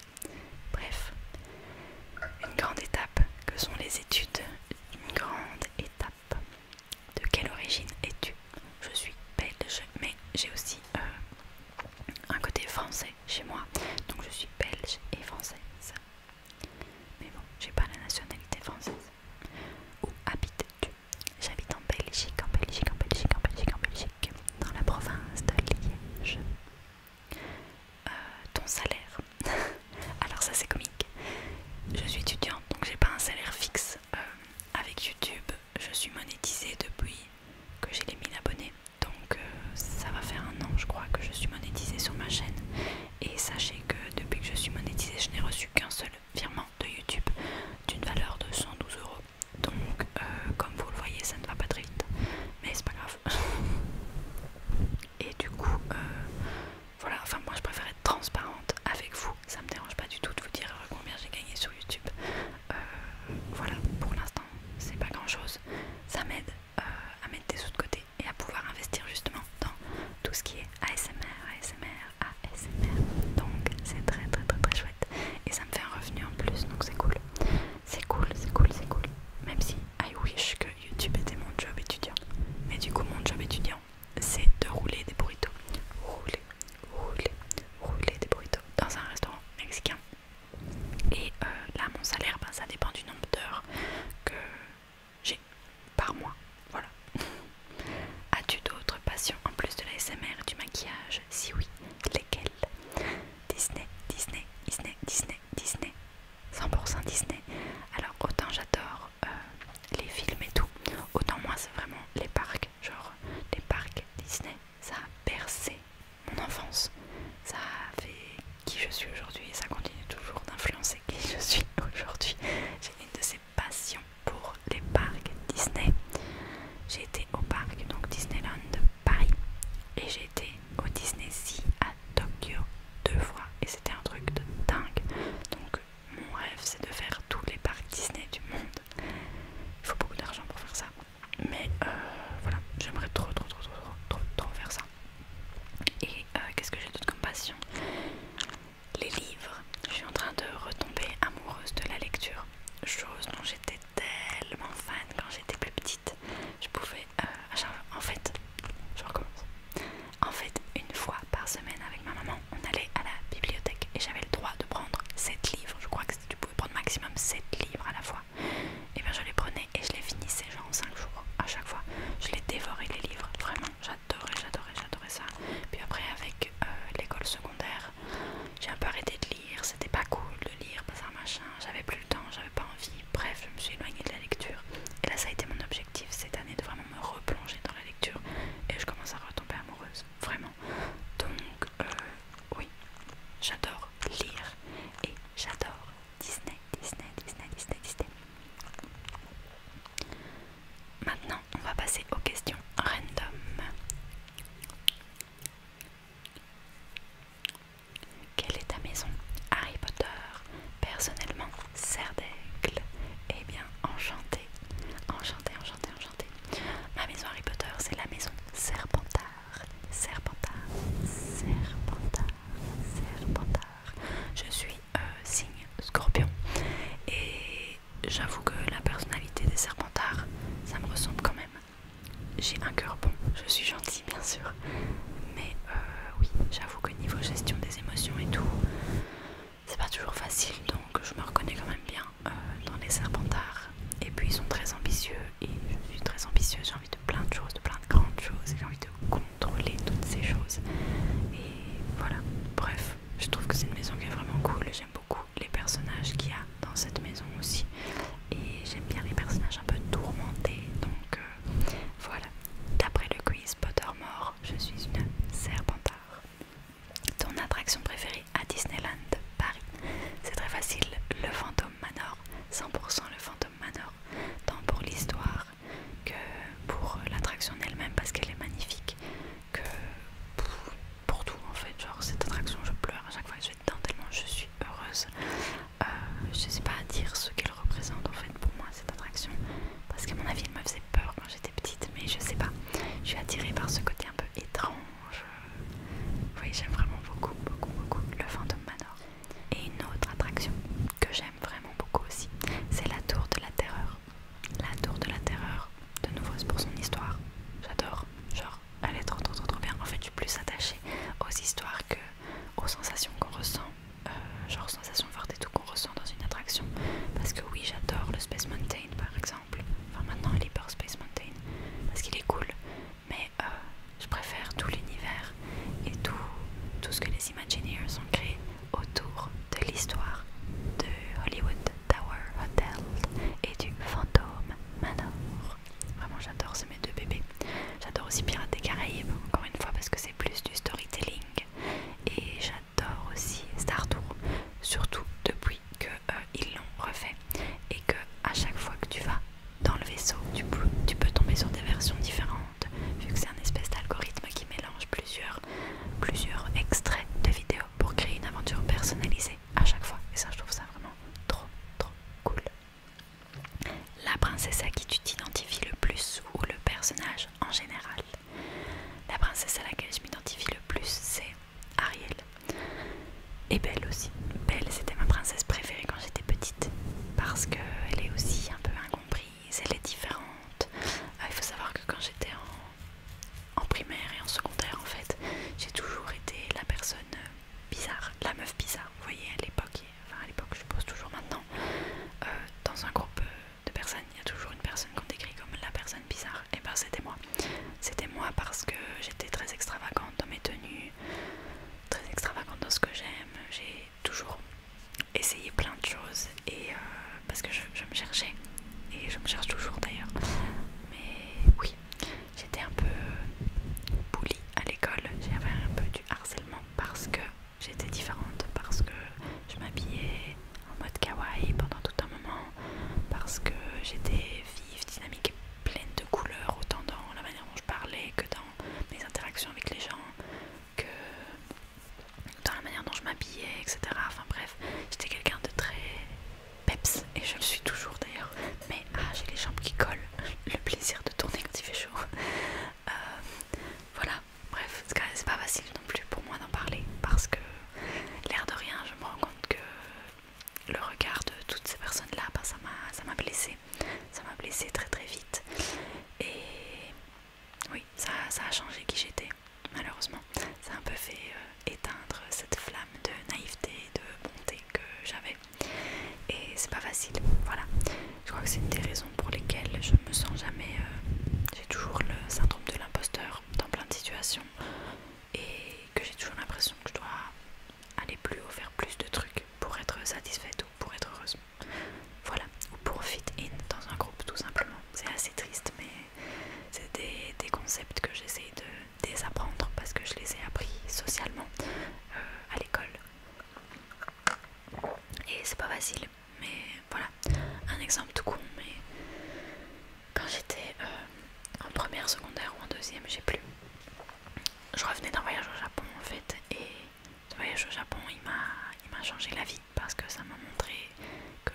bref, une grande étape que sont les études. Une grande étape. De quelle origine es-tu Je suis belge, mais j'ai aussi euh, un côté français chez moi. Donc je suis belge et française. Mais bon, j'ai pas la nationalité française. Où habites-tu J'habite en Belgique, en Belgique, en Belgique, en Belgique, en Belgique, dans la province de Liège. Euh, ton salaire. [LAUGHS] Alors ça c'est comique. Je suis étudiante, donc j'ai pas un salaire fixe. Euh, avec YouTube, je suis monétisée depuis que j'ai les 1000 abonnés. Donc euh, ça va faire un an, je crois, que je suis monétisée sur ma chaîne. Et sachez que depuis que je suis monétisée, je n'ai reçu qu'un seul virement de YouTube d'une valeur de 112 euros. Donc, euh, comme vous le voyez, ça ne va pas très vite, mais c'est pas grave. [LAUGHS] Et du coup, euh, voilà, enfin, moi je préfère être transparente avec vous, ça me dérange pas du tout de vous dire euh, combien j'ai gagné sur YouTube. voilà, pour l'instant, c'est pas grand chose, ça m'aide à mettre des sous de côté et à pouvoir investir justement dans tout ce qui est ASMR, ASMR, ASMR donc c'est très très très très chouette et ça me fait un revenu en plus donc c'est cool c'est cool c'est cool c'est cool même si I wish que YouTube était mon job étudiant mais du coup mon job étudiant c'est de rouler des burritos rouler rouler rouler des burritos dans un restaurant mexicain et euh, là mon salaire ben, ça dépend du nombre d'heures que j'ai par mois voilà [LAUGHS] As-tu d'autres passions en plus de l'ASMR et du maquillage si oui, lesquels Disney, Disney, Disney, Disney, Disney. 100% Disney. Alors autant j'adore euh, les films et tout, autant moi c'est vraiment les parcs, genre les parcs Disney. Ça a percé mon enfance. Ça a fait qui je suis aujourd'hui et ça continue toujours d'influencer qui je suis [LAUGHS] aujourd'hui. J'ai une de ces passions pour les parcs Disney. J'ai été au parc donc Disneyland de Paris et j'ai été au Disney Sea à Tokyo deux fois et c'était un truc de dingue. Donc mon rêve c'est de faire tous les parcs Disney du monde. Il faut beaucoup d'argent pour faire ça. Mais euh, voilà, j'aimerais trop trop trop trop trop trop faire ça. Et euh, qu'est-ce que j'ai d'autre comme passion Les livres. Je suis en train de retomber amoureuse de la lecture chose dont j'étais tellement fan quand j'étais plus petite. Je pouvais... Euh, en fait, je recommence. En fait, une fois par semaine avec ma maman, on allait à la bibliothèque et j'avais le droit de prendre 7 livres. Je crois que tu pouvais prendre maximum 7 livres à la fois. Et eh bien je les prenais et je les finissais genre en 5 jours à chaque fois. Je les dévorais les livres. Vraiment, j'adorais, j'adorais, j'adorais ça. Puis après avec euh, l'école secondaire, j'ai un peu arrêté de lire, c'était pas cool de lire, pas un machin, j'avais plus le temps, j'avais pas envie. Bref, je me suis éloignée de la lecture. Et là, ça a été mon objectif cette année de vraiment me replonger dans la lecture. Et je commence à retomber amoureuse, vraiment. Donc, euh, oui, j'adore lire et j'adore Disney, Disney, Disney, Disney, Disney. Maintenant, on va passer aux questions random. Quelle est ta maison Harry Potter. Personnellement, serre d'aigle. Eh bien, enchanté. Enchanté, enchanté, enchanté. Ma maison Harry Potter, c'est la maison Serpentard. Serpentard. Serpentard. Serpentard. Je suis un euh, signe scorpion. Et j'avoue que la personnalité des serpentards, ça me ressemble quand même. J'ai un cœur bon, je suis gentille bien sûr, mais euh, oui, j'avoue que niveau gestion des émotions et tout, c'est pas toujours facile, donc je me reconnais quand même bien euh, dans les serpentards. Et puis ils sont très ambitieux, et je suis très ambitieuse, j'ai envie de plein de choses, de plein de grandes choses, j'ai envie de contrôler toutes ces choses. Et voilà, bref, je trouve que c'est une maison qui est vraiment cool, j'aime beaucoup les personnages qu'il y a dans cette maison aussi. Et j'aime bien les personnages un peu tourmentés. Donc euh, voilà. D'après le quiz Pottermore, je suis une serpentard. Ton attraction préférée à Disneyland Paris C'est très facile. Le fantôme Manor. 100% le fantôme Manor. Tant pour l'histoire que pour l'attraction elle-même parce qu'elle est magnifique que pour tout en fait, genre cette attraction je pleure à chaque fois je vais dedans tellement je suis heureuse. Euh, je sais pas dire ce qu'elle représente en fait pour moi cette attraction parce qu'à mon avis elle me faisait peur quand j'étais petite mais je sais pas, je suis attirée par ce côté un peu étrange. Oui j'aime vraiment beaucoup beaucoup beaucoup le Phantom Manor. Et une autre attraction que j'aime vraiment beaucoup aussi, c'est la tour de la terreur. La tour de la terreur, de nouveau pour son histoire. J'adore, genre, elle est trop trop trop trop bien. En fait, je suis plus attachée aux histoires que aux sensations qu'on ressent, euh, genre sensations fortes et tout qu'on ressent dans une attraction. Parce que oui, j'adore le Space Mountain par exemple. Enfin, maintenant, les Hyper Space Mountain parce qu'il est cool, mais euh, je préfère tout l'univers et tout, tout ce que les Imagineers ont créé autour de l'histoire de Hollywood Tower Hotel et du Fantôme Manor. Vraiment, j'adore, ces mes deux bébés. J'adore aussi Pirates des Caraïbes, encore une fois, parce que c'est plus du storytelling. Et j'adore aussi Star Tour, surtout depuis qu'ils euh, l'ont refait et que à chaque fois que tu vas dans le vaisseau, tu peux, tu peux tomber sur des versions différentes, vu que c'est un espèce d'algorithme qui mélange plusieurs extraits de vidéos pour créer une aventure personnalisée à chaque fois. Et ça, je trouve ça vraiment trop, trop cool. La princesse à qui tu t'identifies le plus ou le personnage en général. La princesse à laquelle je m'identifie le plus, c'est Ariel. Et Belle aussi. Belle, c'était ma princesse préférée quand j'étais petite. Parce qu'elle est aussi un peu incomprise, elle est différente. Euh, il faut savoir que quand j'étais en en primaire et en secondaire en fait, j'ai toujours été la personne euh, bizarre, la meuf bizarre, vous voyez, à l'époque, enfin à l'époque je suppose toujours maintenant, euh, dans un groupe euh, de personnes, il y a toujours une personne qu'on décrit comme la personne bizarre, et ben c'était moi. C'était moi parce que j'étais très extravagante dans mes tenues, très extravagante dans ce que j'aime, j'ai toujours essayé plein de choses, et parce que je me cherchais et je me cherche toujours d'ailleurs. Mais oui, j'étais un peu bully à l'école, j'avais un peu du harcèlement parce que j'étais différente, parce que je m'habillais en mode kawaii pendant tout un moment, parce que j'étais vive, dynamique et pleine de couleurs, autant dans la manière dont je parlais que dans mes interactions avec les gens, que dans la manière dont je m'habillais, etc. Enfin bref, j'étais quelqu'un de très peps et je le suis toujours d'ailleurs mais ah j'ai les jambes qui collent le plaisir de tourner quand il fait chaud euh, voilà bref c'est pas facile non plus pour moi d'en parler parce que l'air de rien je me rends compte que le regard de toutes ces personnes là bah, ça m'a blessé ça m'a blessé très très vite et oui ça a changé qui j'étais malheureusement, ça a un peu fait euh, éteindre cette flamme de naïveté, et de bonté que j'avais. Et c'est pas facile, voilà. Je crois que c'est une des raisons pour lesquelles je me sens jamais. Euh, j'ai toujours le syndrome de l'imposteur dans plein de situations et que j'ai toujours l'impression que je dois aller plus haut, faire plus de trucs pour être satisfaite ou pour être heureuse. Voilà, ou pour fit in dans un groupe tout simplement. C'est assez triste, mais c'est des, concepts que j'essaie de désapprendre parce que je les ai appris socialement euh, à l'école. Et c'est pas facile, mais voilà, un exemple tout con, mais quand j'étais euh, en première, secondaire ou en deuxième, j'ai plus. Je revenais d'un voyage au Japon en fait, et ce voyage au Japon il m'a changé la vie parce que ça m'a montré que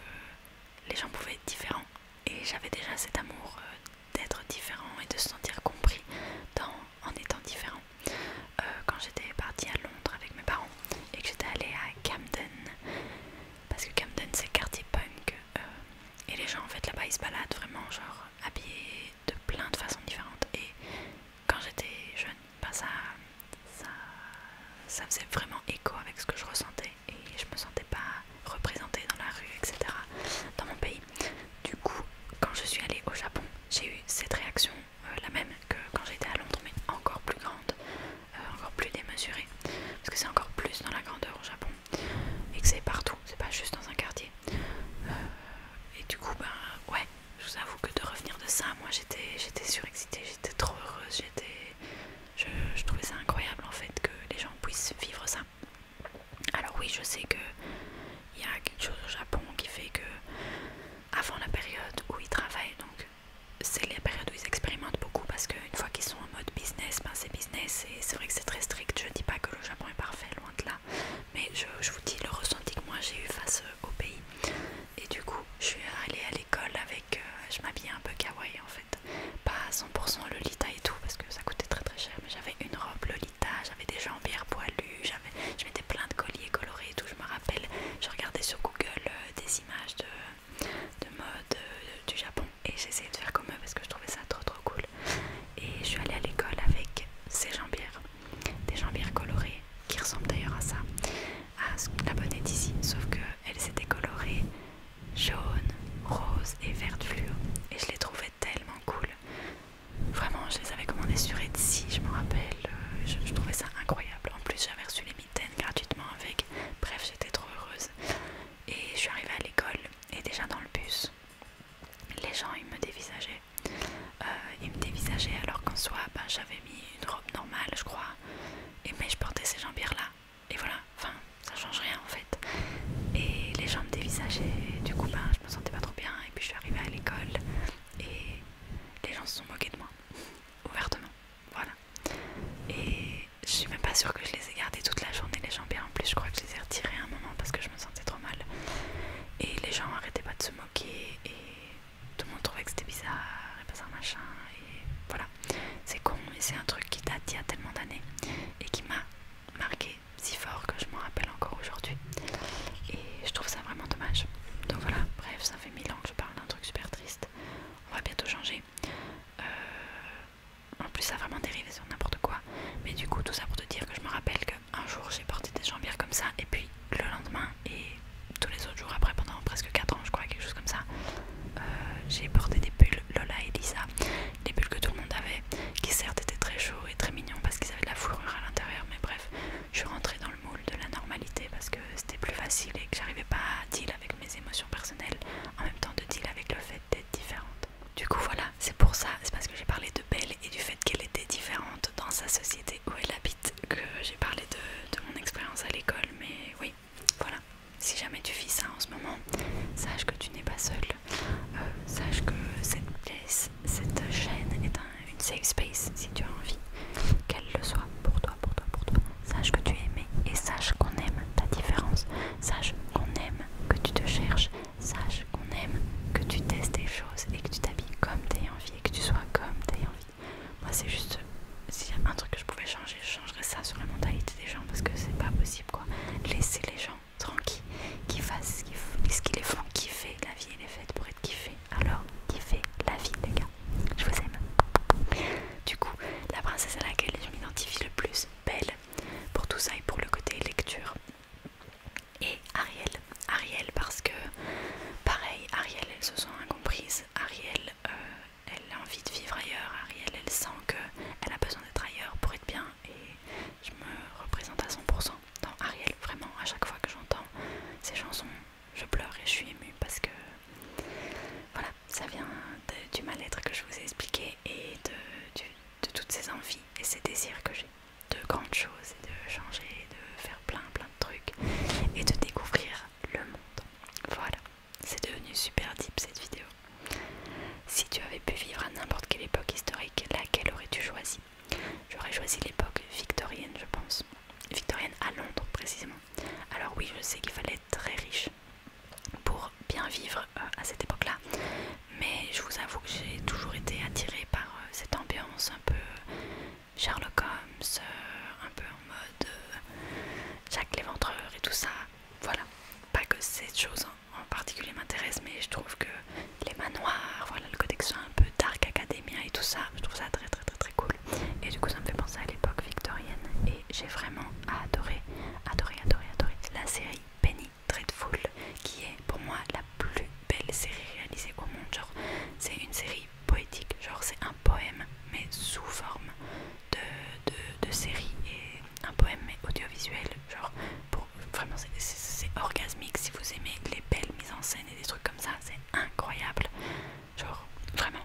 les gens pouvaient être différents et j'avais déjà cet amour euh, d'être différent et de se sentir compris en étant différent. Euh, quand j'étais partie à Londres avec mes parents et que j'étais allée à Camden, parce que Camden c'est quartier punk euh, et les gens en fait là-bas ils se baladent vraiment genre habillés de plein de façons différentes et quand j'étais jeune, bah, ça, ça, ça faisait vraiment écho avec ce que je ressentais et je me sentais pas représentée dans la rue, etc. dans mon pays. Du coup, quand je suis allée au Japon, j'ai eu cette réaction euh, la même que quand j'étais à Londres, mais encore plus grande, euh, encore plus démesurée, parce que c'est encore plus dans la grandeur au Japon et que c'est partout, c'est pas juste dans un quartier. Euh, et du coup, bah, ouais, je vous avoue que de revenir de ça, moi j'étais surexcitée, j'étais trop heureuse, j'étais je, trouvais ça incroyable en fait que les gens puissent vivre ça. Alors oui, je sais que il y a quelque chose au Japon qui fait que avant la période où ils travaillent, donc c'est la période où ils expérimentent beaucoup parce qu'une fois qu'ils sont en mode business, ben c'est business et c'est vrai que c'est très strict. Je ne dis pas que le Japon est parfait, loin de là, mais je, vous dis le ressenti que moi j'ai eu face euh, au pays. Et du coup, je suis allée à l'école avec, euh, je m'habillais un peu kawaii en fait pas à 100% Lolita et tout parce que ça coûtait très très cher mais j'avais une robe Lolita, j'avais des jambières poilues, je mettais plein de colliers colorés et tout, je me rappelle, je regardais sur Google euh, des images de, de mode euh, du Japon et j'essayais de faire comme eux parce que je trouvais ça trop trop cool et je suis allée à l'école avec ces jambières, des jambières colorées qui ressemblent d'ailleurs à ça, à la est ici, sauf que elles étaient colorées jaune, rose et vert fluo. Et je les trouvais tellement cool. Vraiment, je les avais commandées sur Etsy, je me rappelle. Euh, je, trouvais ça incroyable. En plus, j'avais reçu les mitaines gratuitement avec. Bref, j'étais trop heureuse. Et je suis arrivée à l'école et déjà dans le bus, les gens ils me dévisageaient. Euh, ils me dévisageaient alors qu'en soi, bah, j'avais mis une robe normale, je crois. Et mais je portais ces jambières là et voilà, enfin ça change rien en fait. Et les gens me dévisageaient, du coup ben, je me sentais pas trop bien, et puis je suis arrivée à l'école et les gens se sont moqués de moi, ouvertement, voilà. Et je suis même pas sûre que je les ai gardées toute la journée, les jambes en plus, je crois que je les ai retirées un moment parce que je me sentais trop mal. Et les gens arrêtaient pas de se moquer, et tout le monde trouvait que c'était bizarre, et pas ça machin, et voilà. C'est con, mais c'est un truc qui date il y a tellement d'années et qui m'a marqué si fort que je m'en rappelle encore aujourd'hui. Et je trouve ça vraiment dommage. Donc voilà, bref, ça fait mille ans que je parle d'un truc super triste. On va bientôt changer. Euh, en plus, ça a vraiment dérivé sur n'importe quoi. Mais du coup, tout ça pour te dire que je me rappelle qu'un jour j'ai porté des jambières comme ça, et puis le lendemain et tous les autres jours après, pendant presque 4 ans, je crois, quelque chose comme ça, euh, j'ai porté des pulls Lola et Lisa, les bulles que tout le monde avait, qui certes étaient très chauds et très mignons parce qu'ils avaient de la fourrure à l'intérieur, mais bref, je suis rentrée dans le moule de la normalité parce que c'était plus facile et que j'arrivais pas à deal avec mes émotions personnelles en même temps de deal avec le fait d'être différente. Du coup voilà, c'est pour ça, c'est parce que j'ai parlé de Belle et du fait qu'elle était différente dans sa société où elle habite que j'ai parlé de mon expérience à l'école, mais oui, voilà, si jamais tu vis ça en ce moment, sache que tu n'es pas seul. Euh, sache que cette place, cette chaîne est un, une safe space si tu as envie qu'elle le soit pour toi, pour toi, pour toi. Sache que tu es aimé et sache qu'on aime ta différence. Sache qu'on aime que tu te cherches. Sache qu'on aime que tu testes des choses et que tu t'habilles comme tu as envie et que tu sois comme tu as envie. Moi, c'est juste, s'il y a un truc que je pouvais changer, ça sur la mentalité des gens parce que c'est pas possible quoi. Laissez les gens tranquilles, qu'ils fassent ce qu'ils font, qu'ils La vie elle est faite pour être kiffée. Alors kiffez la vie les gars. Je vous aime. Du coup, la princesse à laquelle je m'identifie le plus, Belle, pour tout ça et pour le côté lecture. Et Ariel, Ariel parce que pareil, Ariel elle se sont incomprises Ariel euh, elle a envie de vivre ailleurs, Ariel, elle sent qu'elle a besoin d'être ailleurs pour être bien et je me représente à 100% dans Ariel, vraiment, à chaque fois que j'entends ces chansons, je pleure et je suis émue parce que voilà, ça vient du mal-être que je vous ai expliqué et de, de toutes ces envies et ces désirs que j'ai de grandes choses et de changer, de faire plein plein de trucs et de découvrir le monde. Voilà. C'est devenu super deep cette vidéo. Si tu avais pu vivre à n'importe quelle époque historique, laquelle aurais-tu choisi J'aurais choisi l'époque victorienne, je pense. Victorienne à Londres, précisément. Alors oui, je sais qu'il fallait être très riche pour bien vivre euh, à cette époque-là. Mais je vous avoue que j'ai toujours été attirée par euh, cette ambiance un peu euh, Sherlock Holmes, un peu en mode Jacques Jack l'éventreur et tout ça voilà, pas que cette chose en particulier m'intéresse, mais je trouve que les manoirs, voilà le côté que soit un peu dark academia et tout ça, je trouve ça très très très très cool. Et du coup, ça me fait penser à l'époque victorienne et j'ai vraiment adoré, adoré, adoré, adoré la série Penny Dreadful, qui est pour moi la plus belle série réalisée au monde. Genre, c'est une série poétique, genre c'est un poème mais sous forme de, série et un poème mais audiovisuel genre pour, vraiment c'est orgasmique si vous aimez les belles mises en scène et des trucs comme ça c'est incroyable genre vraiment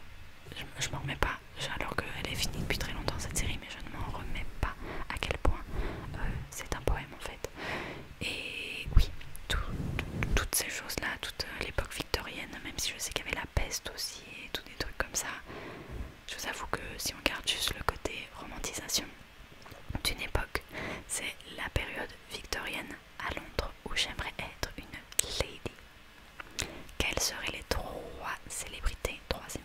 je, m'en remets pas alors qu'elle est finie depuis très longtemps cette série mais je ne m'en remets pas à quel point euh, c'est un poème en fait et oui toutes ces choses là toute euh, l'époque victorienne même si je sais qu'il y avait la peste aussi et des trucs comme ça. Je vous avoue que si on garde juste le côté romantisation d'une époque, c'est la période victorienne à Londres où j'aimerais être une lady. Quelles seraient les trois célébrités, trois c'est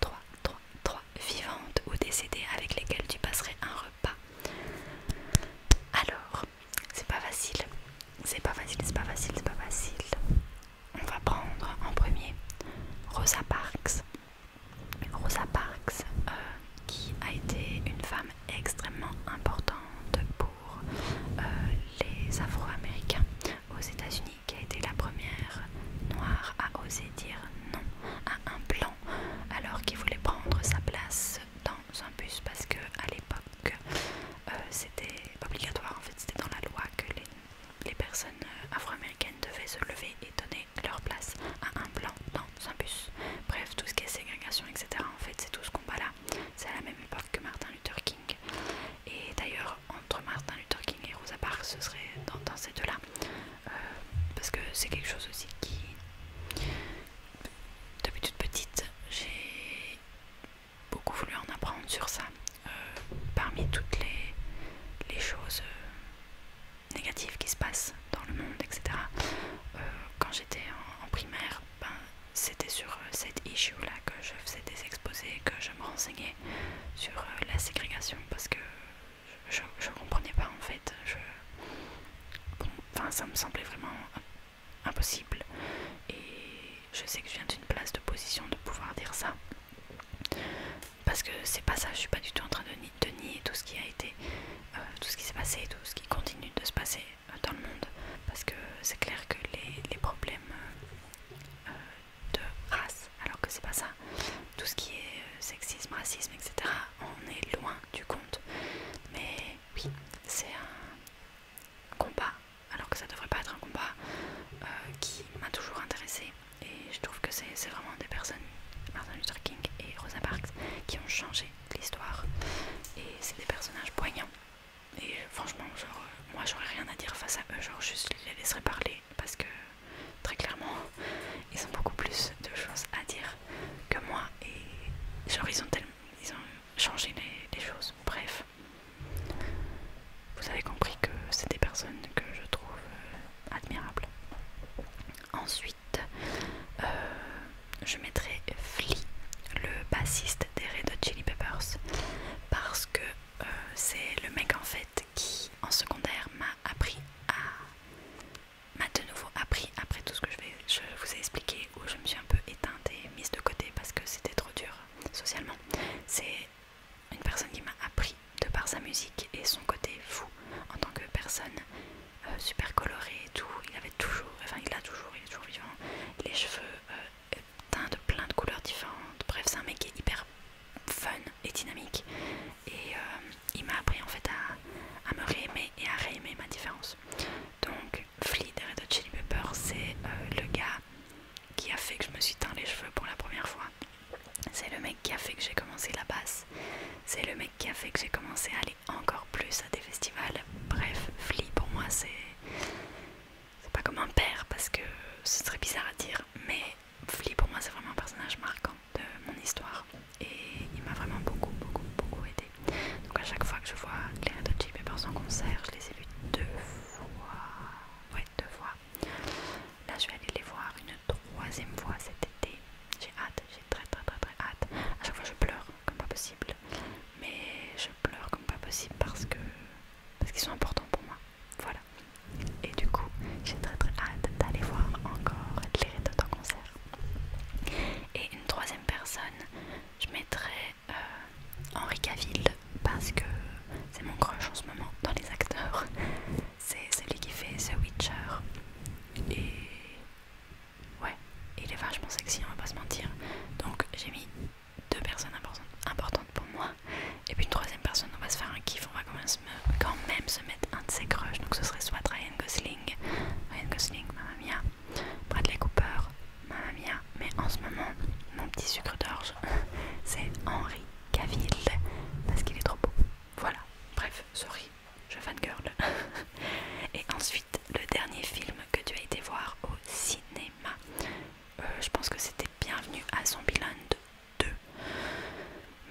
trois, trois, trois vivantes ou décédées avec lesquelles tu passerais un repas Alors, c'est pas facile, c'est pas facile, c'est pas facile, c'est pas facile on va prendre en premier Rosa Parks. Rosa Parks, euh, qui a été une femme extrêmement importante pour euh, les Afro-Américains aux États-Unis, qui a été la première noire à oser dire non à un blanc alors qu'il voulait prendre sa place dans un bus parce que à l'époque c'était euh, c'était obligatoire en fait, c'était dans la loi que les, personnes euh, afro-américaines devaient se lever et donner leur place à un blanc dans un bus. Bref, tout ce qui est ségrégation, etc. En fait, c'est tout ce combat-là. C'est à la même époque que Martin Luther King. Et d'ailleurs, entre Martin Luther King et Rosa Parks, ce serait dans, ces deux-là. Euh, parce que c'est quelque chose aussi qui... Depuis toute petite, j'ai beaucoup voulu en apprendre sur ça. Euh, parmi toutes les, les choses euh, négatives qui se passent dans le monde, etc. Euh, quand j'étais en, primaire, ben, c'était sur cette issue-là que je faisais des exposés, que je me renseignais sur la ségrégation parce que je ne comprenais pas en fait. Je, ça me semblait vraiment impossible. Et je sais que je viens d'une place de position de pouvoir dire ça. Parce que c'est pas ça, je suis pas du tout en train de, nier tout ce qui a été, euh, tout ce qui s'est passé et tout ce qui continue de se passer euh, dans le monde. Parce que c'est clair que les, problèmes euh, de race, alors que c'est pas ça, tout ce qui est sexisme, racisme, etc., on est loin du compte. Mais oui, c'est un combat alors que ça devrait pas être un combat euh, qui m'a toujours intéressé et je trouve que c'est vraiment des personnes, Martin Luther King et Rosa Parks, qui ont changé l'histoire et c'est des personnages poignants et franchement genre euh, moi j'aurais rien à dire face à eux, genre juste les laisserai parler parce que très clairement [LAUGHS] ils ont beaucoup plus de choses à dire que moi et genre ils ont tellement changer les, choses. Bref, vous avez compris que c'est des personnes que je trouve euh, admirables. Ensuite, euh, je mettrai Flea, le bassiste des Red Hot Chili Peppers, parce que euh, c'est le mec en fait qui, en secondaire, m'a appris à, m'a de nouveau appris après tout ce que je vais, je vous ai expliqué où je me suis un peu éteinte et mise de côté parce que c'était trop dur socialement. C'est une personne qui m'a appris de par sa musique et son côté fou en tant que personne euh, super colorée et tout. Il avait toujours, enfin il a toujours, il est toujours vivant, les cheveux euh, teints de plein de couleurs différentes. Bref, c'est un mec qui est hyper fun et dynamique et euh, il m'a appris en fait à, à me réaimer et à réaimer ma différence. Donc Fleet, et Chili c'est le gars qui a fait que je me suis teint les cheveux pour la première fois. C'est le mec qui a fait que j'ai commencé la basse. C'est le mec qui a fait que j'ai commencé à aller encore plus à des festivals. Bref, Flea pour moi c'est... C'est pas comme un père parce que ce serait bizarre à dire, mais Flea pour moi c'est vraiment un personnage marquant de mon histoire. Et il m'a vraiment beaucoup, beaucoup, beaucoup aidé. Donc à chaque fois que je vois les de par son son concert, je les ai vus deux voir, ouais deux fois. Là je vais aller les voir une troisième fois cet été. J'ai hâte, j'ai très très très très hâte. À chaque fois je pleure comme pas possible, mais je pleure comme pas possible parce que parce qu'ils sont importants pour moi. Voilà. Et du coup j'ai très très hâte d'aller voir encore les Red en concert. Et une troisième personne, je mettrai euh, Henri Cavill parce que c'est mon crush en ce moment dans les acteurs. [LAUGHS] C'est celui qui fait The Witcher. Et ouais, il est vachement sexy, on va pas se mentir. Donc j'ai mis deux personnes importantes pour moi. Et puis une troisième personne, on va se faire un kiff, on va quand quand même se mettre un de ses crushs. Donc ce serait soit Ryan Gosling, Ryan Gosling, Mamma Mia, Bradley Cooper, Mamma mia, mais en ce moment, mon petit sucre d'orge, [LAUGHS] c'est Henri Cavill parce qu'il est trop beau. Voilà, bref, sorry, je fan girl. [LAUGHS] Et ensuite, le dernier film que tu as été voir au cinéma, euh, je pense que c'était Bienvenue à Zombieland 2.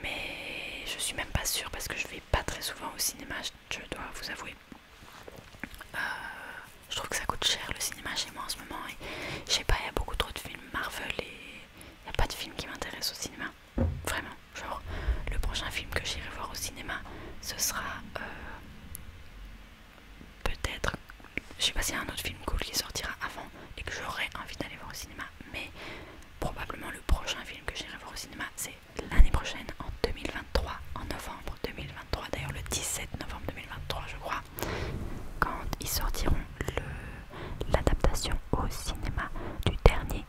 Mais je suis même pas sûre parce que je vais pas très souvent au cinéma, je dois vous avouer. Euh, je trouve que ça coûte cher le cinéma chez moi en ce moment. je sais pas, il y a beaucoup trop de films Marvel et il n'y a pas de film qui m'intéresse au cinéma. Vraiment, genre le prochain film que j'irai voir au cinéma, ce sera euh, peut-être, je sais pas s'il y a un autre film cool qui sortira avant et que j'aurais envie d'aller voir au cinéma, mais probablement le prochain film que j'irai voir au cinéma, c'est l'année prochaine en 2023, en novembre 2023 d'ailleurs le 17 novembre 2023 je crois, quand ils sortiront l'adaptation au cinéma du dernier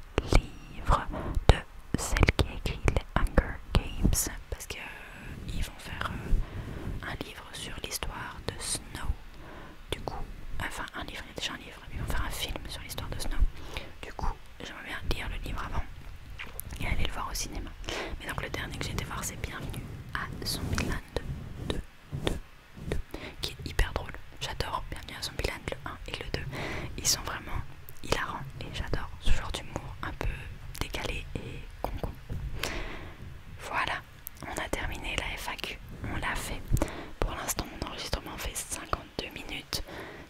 livre de celle qui a écrit les Hunger Games, parce que euh, ils vont faire euh, un livre sur l'histoire de Snow, du coup, enfin un livre, il y a déjà un livre, mais ils vont faire un film sur l'histoire de Snow, du coup j'aimerais bien lire le livre avant et aller le voir au cinéma. Mais donc le dernier que j'ai été voir c'est Bienvenue à Zombieland 2, 2, 2, qui est hyper drôle. J'adore Bienvenue à bilan le 1 et le 2. Ils sont vraiment hilarants et j'adore ce genre d'humour un peu décalé et con Voilà, on a terminé la FAQ, on l'a fait. Pour l'instant, mon enregistrement fait 52 minutes.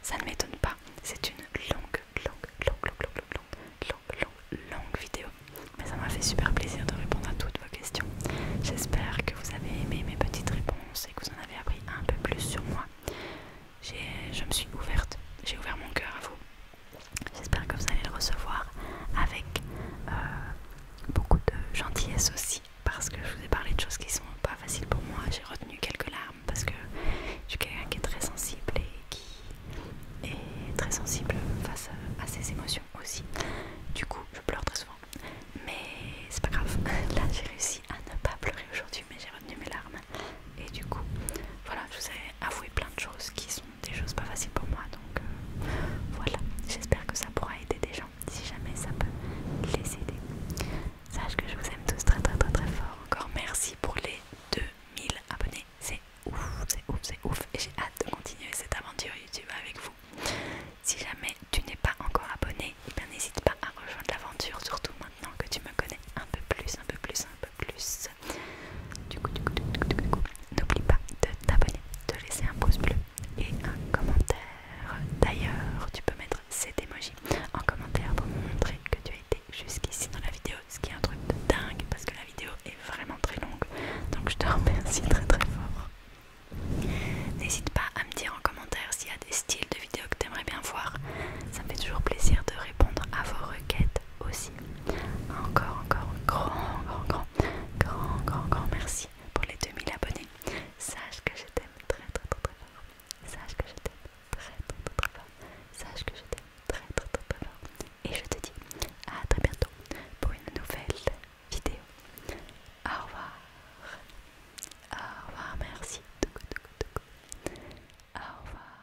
Ça ne m'étonne pas, c'est une longue, longue, longue, longue, longue, longue longue, vidéo. Mais ça m'a fait super plaisir de répondre à toutes vos questions. J'espère que vous avez aimé mes petites réponses et que vous en avez appris un peu plus sur moi. Je me suis ouverte, j'ai ouvert mon cœur à vous. J'espère que vous allez le recevoir avec euh, beaucoup de gentillesse aussi, parce que je vous ai parlé de choses qui sont pas faciles pour moi. J'ai retenu quelques larmes parce que je suis quelqu'un qui est très sensible et qui est très sensible face à, ses émotions aussi. Du coup, je pleure très souvent. Mais c'est pas grave. [LAUGHS] Là, j'ai réussi à ne pas pleurer aujourd'hui, mais j'ai retenu mes larmes. Et du coup, voilà, je vous ai avoué plein de choses qui sont des choses pas faciles pour moi. Donc euh, voilà, j'espère que ça pourra aider des gens. Si jamais ça peut les aider. Sache que je vous aime tous très très très très fort. Encore merci pour les 2000 abonnés c'est ouf, c'est ouf, c'est ouf et j'ai hâte de continuer cette aventure YouTube avec vous. Si jamais tu n'es pas encore abonné, eh n'hésite pas à rejoindre l'aventure, surtout maintenant que tu me connais un peu plus, un peu plus, un peu plus. Du coup, du coup, du coup, du coup, du coup n'oublie pas de t'abonner, de laisser un pouce bleu et un commentaire. D'ailleurs, tu peux mettre cette emoji en commentaire pour montrer que tu as été jusqu'ici dans la vidéo, ce qui est un truc de dingue parce que la vidéo est vraiment très longue. Donc je te remercie très très fort. N'hésite pas à me dire en commentaire s'il y a des styles de vidéos que tu aimerais bien voir. Ça me fait toujours plaisir de répondre à vos requêtes aussi. Encore, encore, grand, grand, grand, grand, grand, merci pour les 2000 abonnés. Sache que je t'aime très très très très fort. Sache que je t'aime très très très fort. Sache que je t'aime et je te dis à très bientôt pour une nouvelle vidéo. Au revoir. Au revoir, merci. Au revoir.